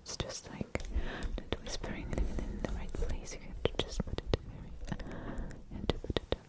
It's just like not whispering anything in the right place. You have to just put it very and to put it up.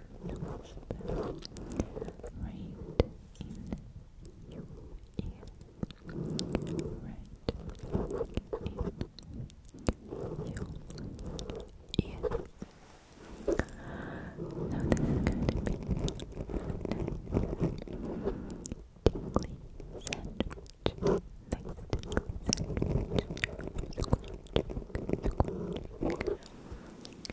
crystals right in your ear, right in your So this is going to be nice sandwich. Nice sandwich.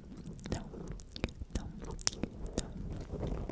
Don't, do Tell me you like whispering.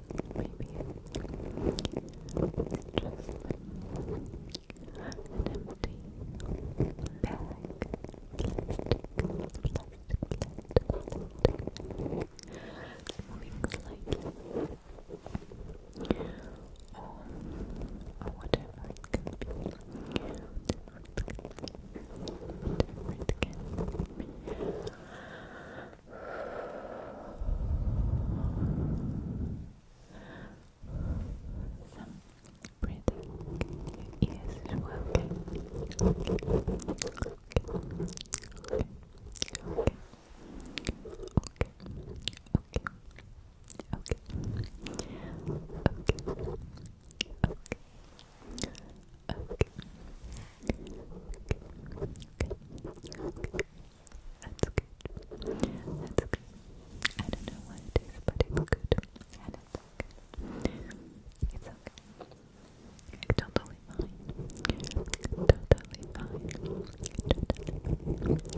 maybe it's just an empty bag, plastic, plastic, plastic, moving slightly. Or, or whatever it can be, whatever be, whatever it can be. Some breathing in your okay? Okay. Okay. Okay. Okay. Okay. Okay. Okay. Okay. Okay. Okay. Okay. Okay. I don't know what it is, but it's good. And okay. It's okay. totally fine. Totally fine.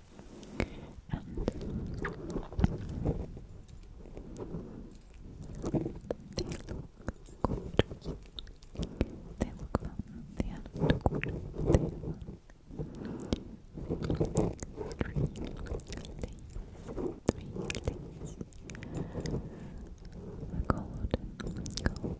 They look fun. They are not good. They are Three days. Three days. Golden, golden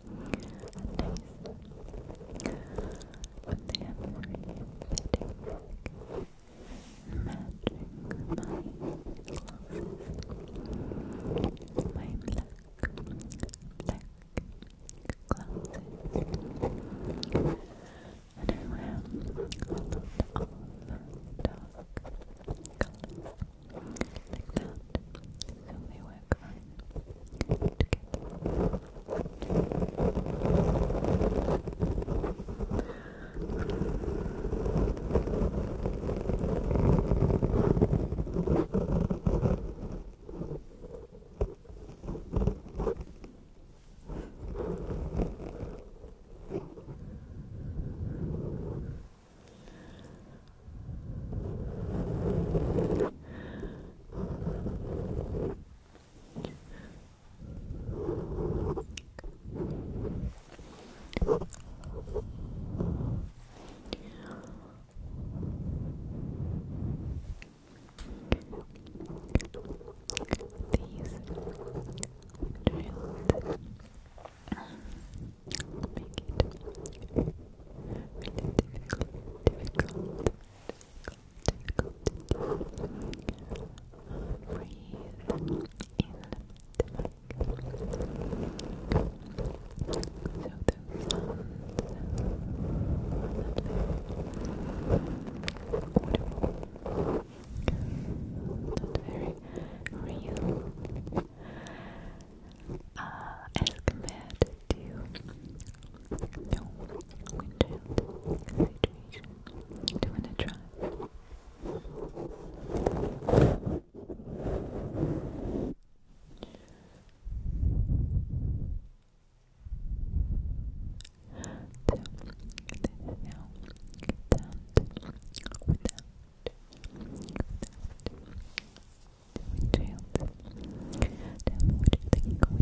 nice. But they have very fitting, magic my glasses. My black, black glasses. And I wear a lot dark like that. So they work fine together. These drilled make it really difficult, difficult, difficult, difficult to breathe in So those sounds that not very real, uh, as compared to no windshield situation to when I drive. So, this is now without, without, without Child. Tell you like that? Without the child,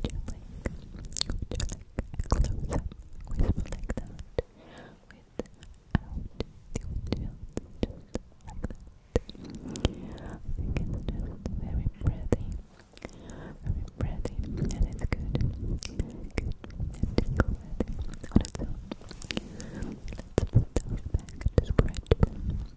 just like that. I think very breathy. Very breathy and it's good. Good and tickle on Let's put those back to scratch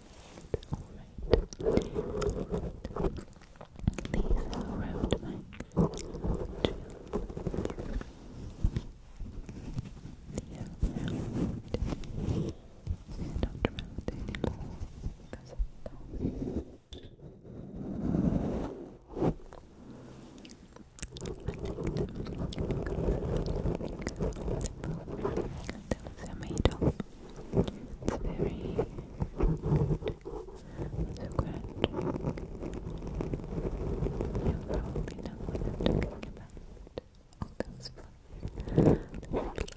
Alright. Alright. These are around my two, yeah, around. Don't remember anymore because of I those are made It's very good. So gradually, you know talking about. All those flowers, those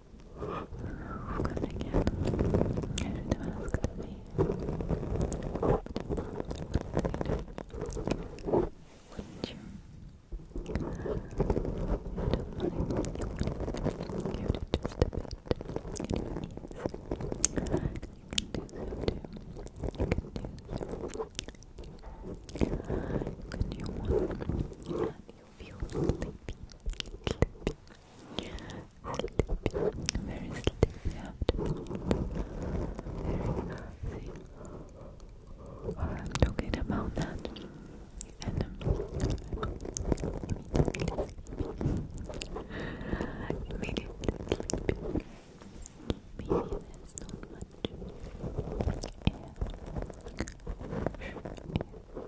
Good again. I me. would you? You don't You give it just a bit. It needs. You can do so You can do so. You can do one. you feel sleepy. Sleepy, very sleepy after Very cozy. I'm talking about that. And um, immediately sleepy. Maybe not much.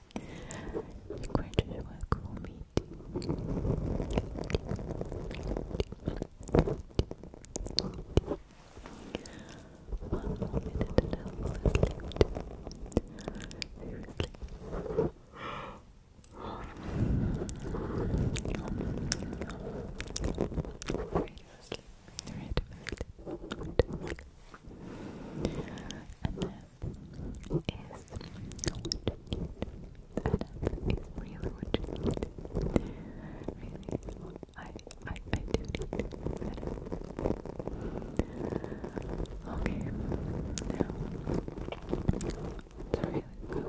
graduate school One more minute and I Seriously is what you need. That is really what you need. Really, I, I, I do need Okay, now to really go.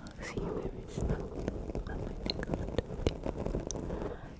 I'll see you very soon on my next